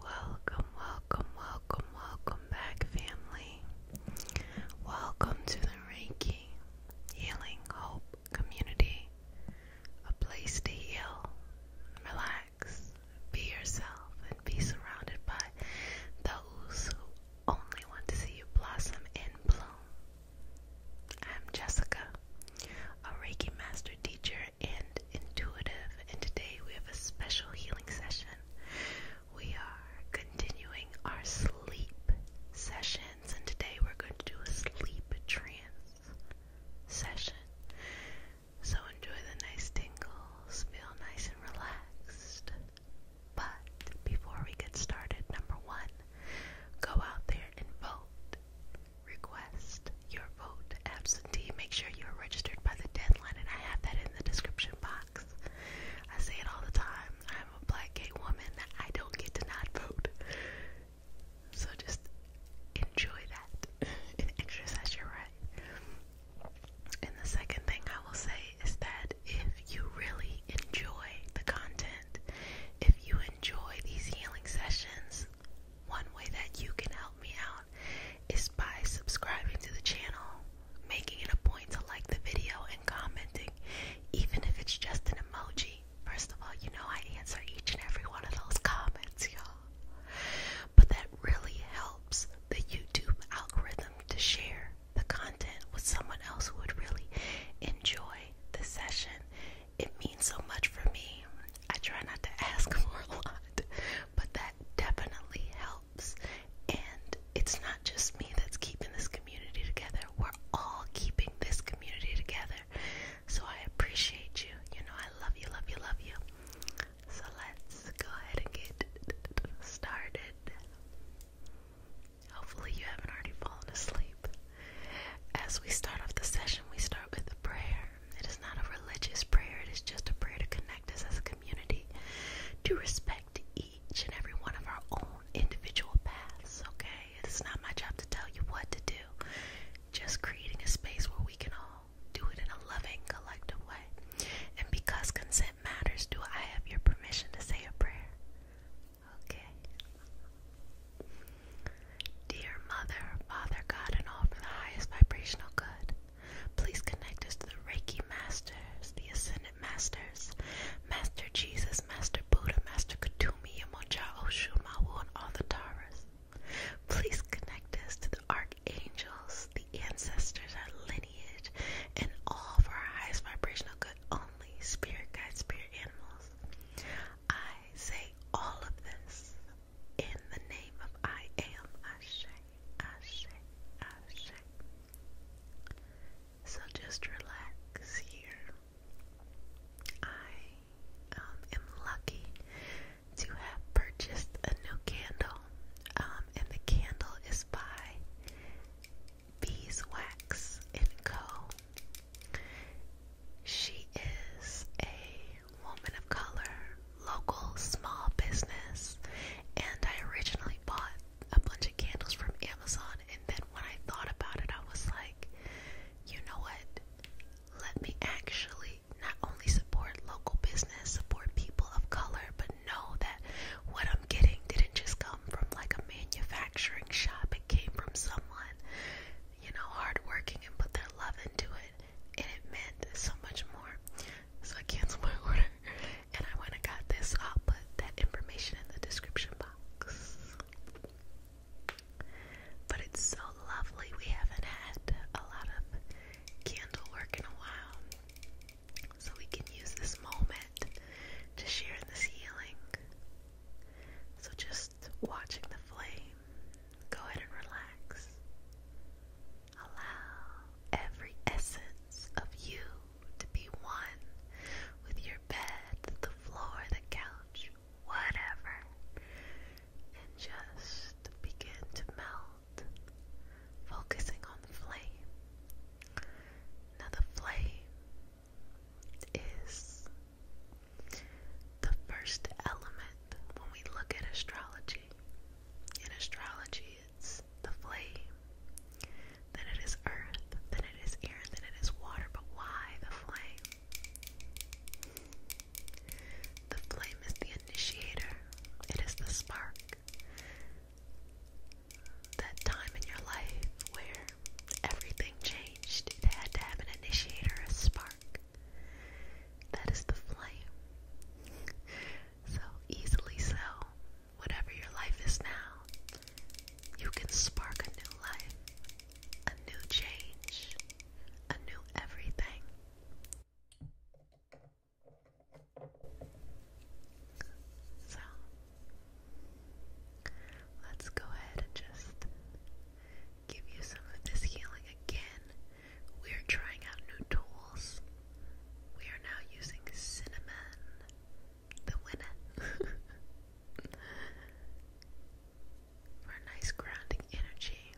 Welcome, welcome, welcome, welcome back, family. Welcome to the Reiki Healing Hope Community, a place to heal, relax, be yourself, and be surrounded by those who only want to see you blossom and bloom. I'm Jessica, a Reiki Master Teacher and Intuitive, and today we have a special healing session. We are continuing our sleep sessions, and today we're going to do a sleep trance session. So enjoy the nice tingles, feel nice and relaxed. But before we get started, number one, go out there and vote. Request your vote absentee. Make sure you're registered by the deadline, and I have that in the description box. I say it all the time. I'm a black gay woman. I don't get to not vote. So just enjoy that and exercise your right. And the second thing I will say is that if you really enjoy the content, if you enjoy these healing sessions, one way that you can help me out is by subscribing to the channel, making it a point to like the video, and commenting, even if it's just an emoji. First of all, you know I answer each and every one of those comments, y'all. But that really helps the YouTube algorithm to share the content with someone else who would really enjoy the session. It means so much for me. I try not to ask for a lot, but that definitely helps. And it's not just me that's keeping this community together. We're all keeping this community together. So I appreciate you. You know, I love you, love you, love you. So let's go ahead and get started. Hopefully, you haven't already fallen asleep. As we start off the session, we start with a prayer. It is not a religious prayer, it is just a prayer to connect us as a community, to respect each and every one of our own individual paths, okay? It's not my job to tell you what to do, just creating a space where we can all do it in a loving, collective way. And because consent matters, do I have your permission to say a prayer? Okay. Dear Mother, Father God, and all for the highest vibrational good, please connect us to the Reiki Masters, the Ascendant Masters, Master Jesus, Master Buddha, Master Katumi, Yamocha, Oshu, Mawu, and all the Taras. Please connect us to the Archangels, the ancestors, our lineage, and all for our highest vibrational good but only spirit guides, spirit animals. I say all of this in the name of I am Ashe, Ashe, Ashe. So just relax here. I um, am lucky to have purchased a new candle, um, and the candle is by Beeswax and Co. She is a woman of color, local small business, and I originally bought a bunch of candles from Amazon. And then when I thought about it, I was like, you know what? Let me actually not only support local business, support people of color, but know that what I'm getting didn't just come from like a manufacturing shop, it came from someone, you know, hardworking and put their love into it, and it meant so much more. So I canceled my order and I went and got this. I'll put that information in the description box. But it's so lovely. We haven't had a lot of candle work in a while. So we can use this moment to share in this healing. So just watching the flame, go ahead and relax. Allow every essence of you to be one with your bed, the floor, the couch, whatever. And just begin to melt, focusing on the flame. Now, the flame is the first element when we look at astrology. In astrology, it's the flame, then it is earth, then it is air, then it is water. But why the flame? The flame is the initiator, it is the spark. That time in your life where Everything changed. They had to have an initiator, a spark. That is the flame. So easily so. Whatever your life is now, you can spark a new life, a new change, a new everything. So Let's go ahead and just give you some of this healing again. We are trying out new tools. We are now using cinnamon, the winner, for a nice grounding energy.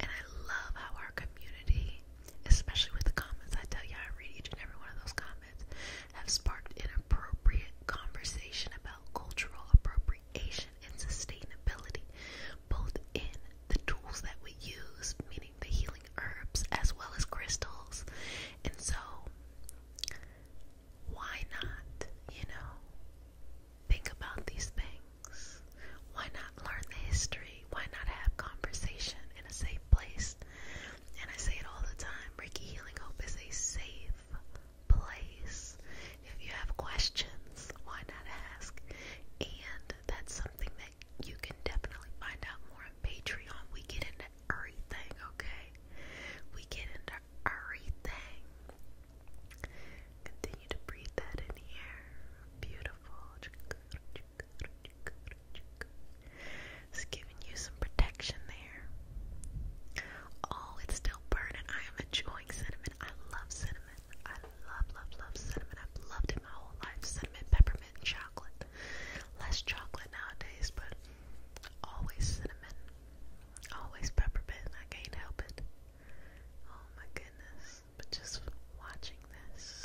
And I love how our community, especially with the comments, I tell you, I read each and every one of those comments have sparked inappropriate conversation about cultural appropriation and sustainability, both in the tools that we use, meaning the healing herbs, as well as crystals. And so, why not, you know, think about these things? Why not learn the history? Why not have conversation in a safe place. And I say it all the time Ricky Healing Hope is a safe place. If you have questions, why not ask? And that's something that you can definitely find out more on Patreon. We get into everything, okay? We get into everything. Continue to breathe that in here. Beautiful. It's giving you some protection there. Oh, it's still burning. I am enjoying cinnamon. I love cinnamon. I love, love, love cinnamon. I've loved it my whole life. Cinnamon, peppermint, chocolate. Less chocolate nowadays, but always cinnamon. Always peppermint. I can't help it. Oh my goodness. But just watching this,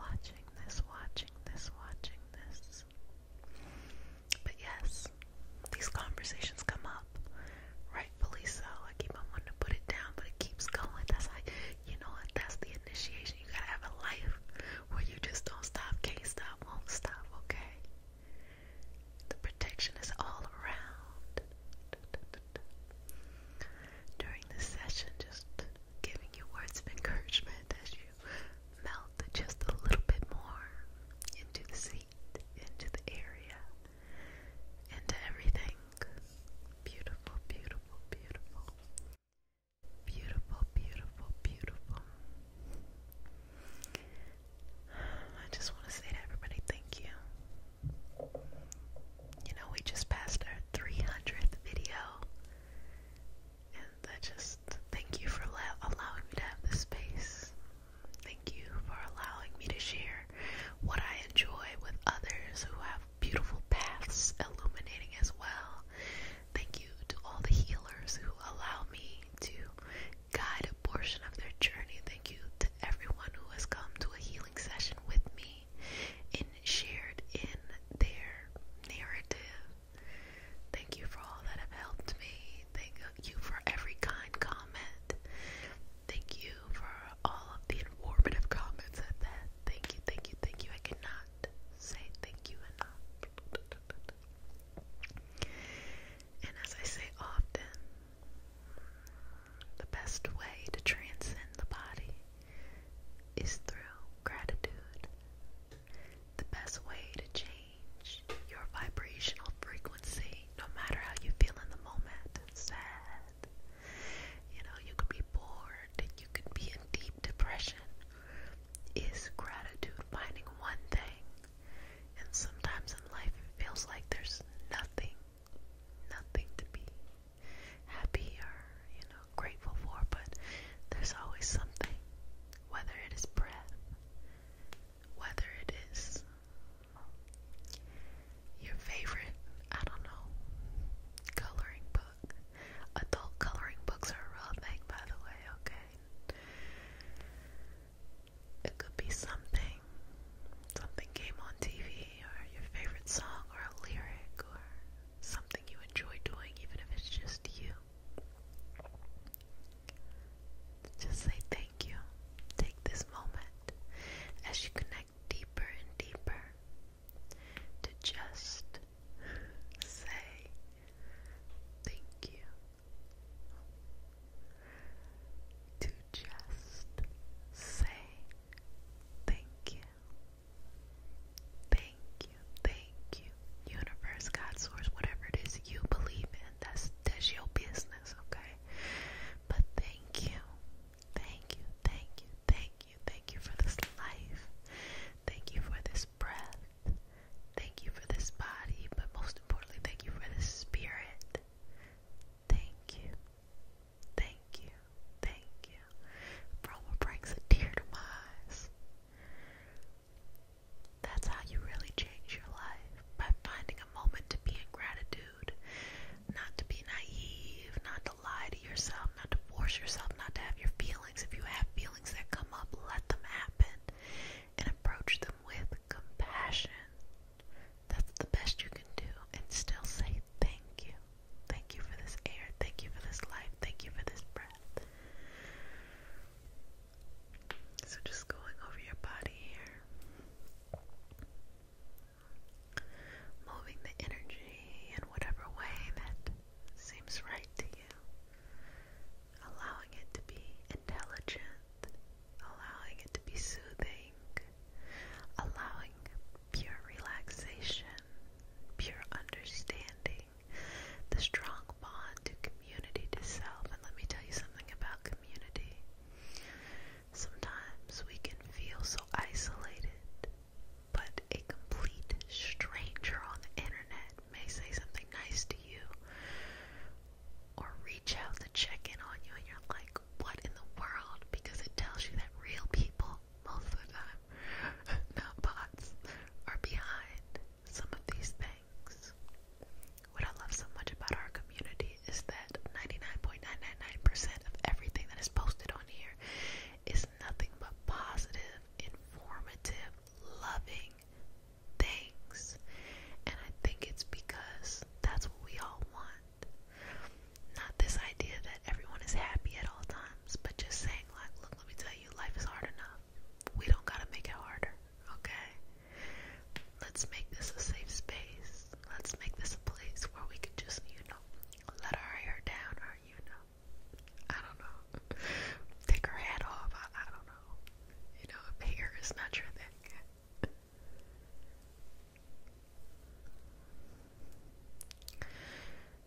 watching this, watching this, watching this is. But yes, these conversations come up, rightfully so. I keep on wanting to put it down, but it keeps going. That's like, you know what? That's the initiation. You gotta have a life where you just don't stop, can't stop, won't stop, okay? The protection is all around. During this session, just giving you words of encouragement as you melt just a little bit more into the seat, into the area, into everything. Beautiful, beautiful, beautiful. Beautiful, beautiful, beautiful. I just want to say to everybody, thank you. You know, we just passed our 300th video, and that just Thank you for allowing me to have this space. Thank you for allowing me to share what I enjoy with others who have beautiful paths illuminating as well. Thank you to all the healers who allow me to guide a portion of their journey. Thank you to everyone who has come to a healing session with me and shared in their narrative Thank you for all that have helped me. Thank you for every kind comment. Thank you for all of the informative comments at that. Thank you, thank you, thank you. I cannot say thank you enough. And as I say often, the best way to transcend the body is through gratitude. The best way to change your vibrational frequency, no matter how you feel in the moment, sad, you know, you could be bored, you could be in deep depression, is gratitude, finding one thing. And sometimes in life it feels like there's nothing, nothing to be happy or, you know, know, grateful for, but there's always something, whether it is breath, whether it is your favorite, I don't know, coloring book. Adult coloring books are a real thing, by the way, okay? It could be something, something came on TV, or your favorite song, or a lyric, or something you enjoy doing, even if it's just you. Just say thank you. Take this moment as you connect deeper and deeper to just say thank you. To just say thank you. Thank you, thank you, universe, God, source, whatever it is you believe in. That's that's your business, okay? But thank you, thank you, thank you, thank you, thank you for this life. Thank you for this breath. Thank you for this body, but most importantly, thank you for this spirit. Thank you, thank you, thank you. Bro, what brings a tear to my eyes? That's how you really change your life by finding a moment to be in gratitude, not to be naive, not to lie to yourself, not to force yourself, not to have your feelings. If you have feelings that come up, let them happen and approach them with compassion. That's the best you can do, and still say thank you. Thank you for this air, thank you for this life, thank you for this breath. So just going over your body here. Moving the energy in whatever way that seems right to you. Allowing it to be intelligent, allowing it to be soothing, allowing pure relaxation, pure understanding the strong bond to community to self. And let me tell you something about community. Sometimes we can feel so isolated, but a complete stranger on the internet may say something nice to you or reach out to check in on you, and you're like, what in the world? Because it tells you that real people, most of the time, not bots, are behind some of these things. What I love so much about our community is that 99.999% of everything that is posted on here is nothing but positive, informative, loving things. And I think it's because that's what we all want. Not this idea that everyone is happy at all times, but just saying, like, look, let me tell you, life is hard enough we don't gotta make it harder, okay? Let's make this a safe space. Let's make this a place where we can just, you know, let our hair down or, you know, I don't know, take her head off. I, don't know. You know, if hair is not your thing.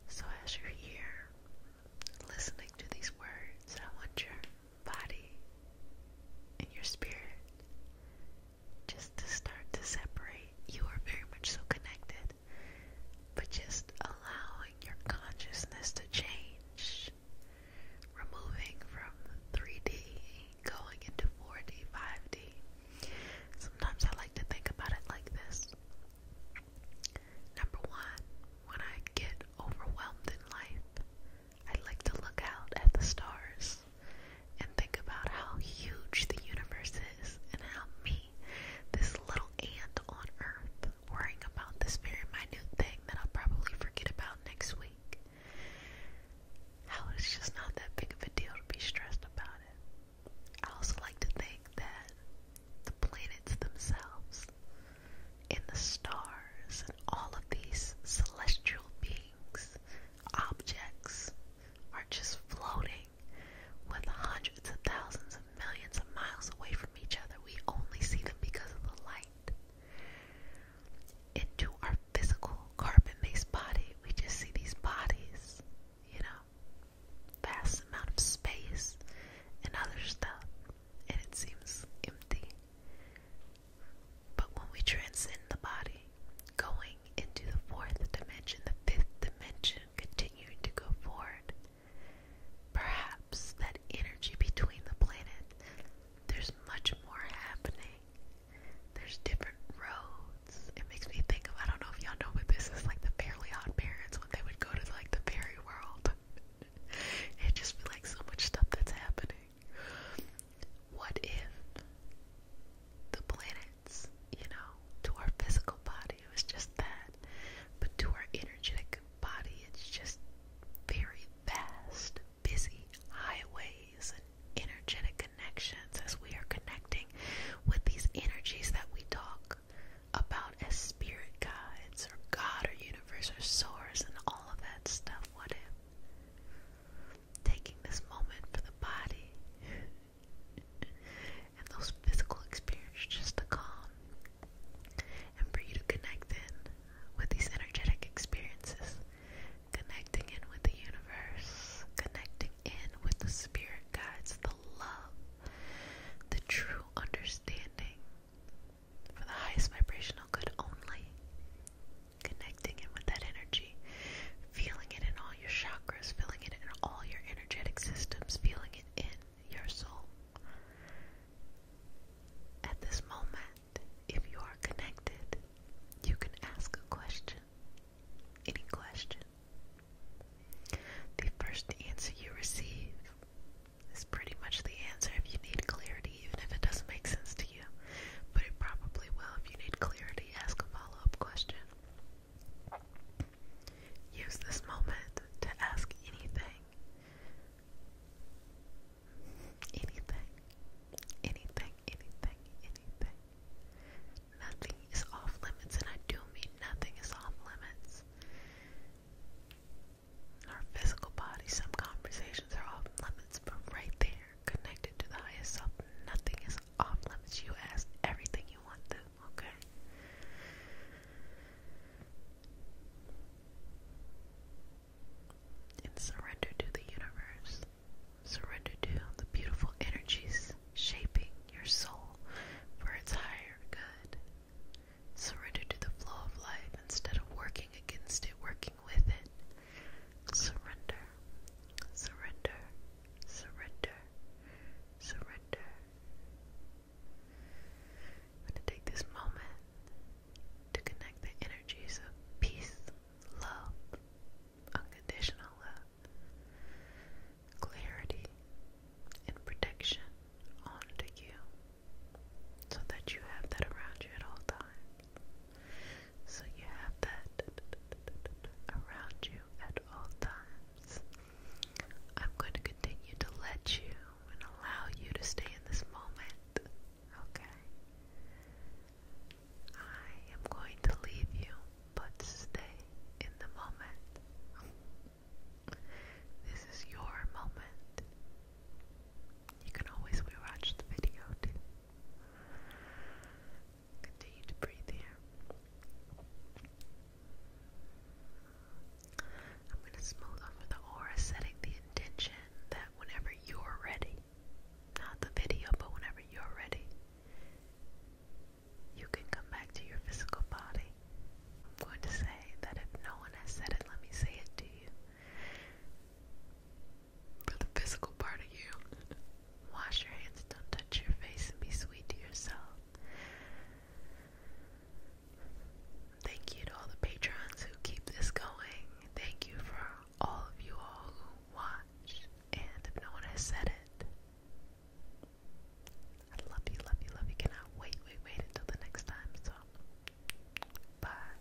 So as you're here, listening to these words, I want your body and your spirit just to start to separate. You are very much so connected, but just allowing your consciousness to change, removing from 3D, going into 4D, 5D. Sometimes I like to think about it like this. Number one, when I get overwhelmed in life, I like to look out at the stars and think about how huge the universe is and how me, this little ant on earth, worrying about this very minute thing that I'll probably forget about next week, how it's just not that big of a deal to be stressed about it. I also like to think that the planets themselves, and the stars, and all of these celestial beings, objects, are just floating with hundreds of thousands of millions of miles away from each other. We only see them because of the light. Into our physical carbon based body, we just see these bodies, you know vast amount of space and other stuff, and it seems empty. But when we transcend the body, going into the fourth dimension, the fifth dimension, continuing to go forward, perhaps that energy between the planet, there's much more happening. There's different roads. It makes me think of I don't know if y'all know, but this is like the Fairly Odd Parents when they would go to like the fairy fairy world. it just be like so much stuff that's happening. What if the planets, you know, to our physical body it just that, but to our energetic body it's just very vast, busy highways and energetic connections as we are connecting with these energies that we talk about as spirit guides or God or universe or source and all of that stuff. What if taking this moment for the body and those physical experiences just to calm and for you to connect in with these energetic experiences, connecting in with the universe, connecting in with the spirit guides, the love the true understanding for the highest vibrational good only. Connecting in with that energy, feeling it in all your chakras, feeling it in all your energetic systems, feeling it in your soul. At this moment, if you are connected, you can ask a question. Any question. The first answer you receive is pretty much the answer if you need clarity, even if it doesn't make sense to you. But it probably will if you need clarity. Ask a follow up question. Use this moment to ask anything. Anything. Anything, anything, anything. Nothing is off limits, and I do mean nothing is off limits. Our physical body, some conversations are off limits, but right there, connected to the highest self, nothing is off limits. You ask everything you want to, okay? And surrender to the universe. Surrender to the beautiful energies shaping your soul for its higher good. Surrender to the flow of life instead of working against it, working with it. Surrender, surrender, surrender, surrender. I'm going to take this moment to connect the energies of peace, love, unconditional love, clarity and protection onto you so that you have that around you at all times. So you have that around you at all times. I'm going to continue to let you and allow you to stay in this moment, okay? I am going to leave you, but stay in the moment. This is your moment. You can always rewatch the video Continue to breathe here. I'm going to smooth over the aura, setting the intention that whenever you're ready, not the video, but whenever you're ready, you can come back to your physical body. I'm going to say that if no one has said it, let me say it to you. For the physical part of you, wash your hands, don't touch your face, and be sweet to yourself. Thank you to all the patrons who keep this going. Thank you for all of you all who watch. And if no one has said it, I love you, love you, love you. Cannot wait, wait, wait until the next time. So, bye.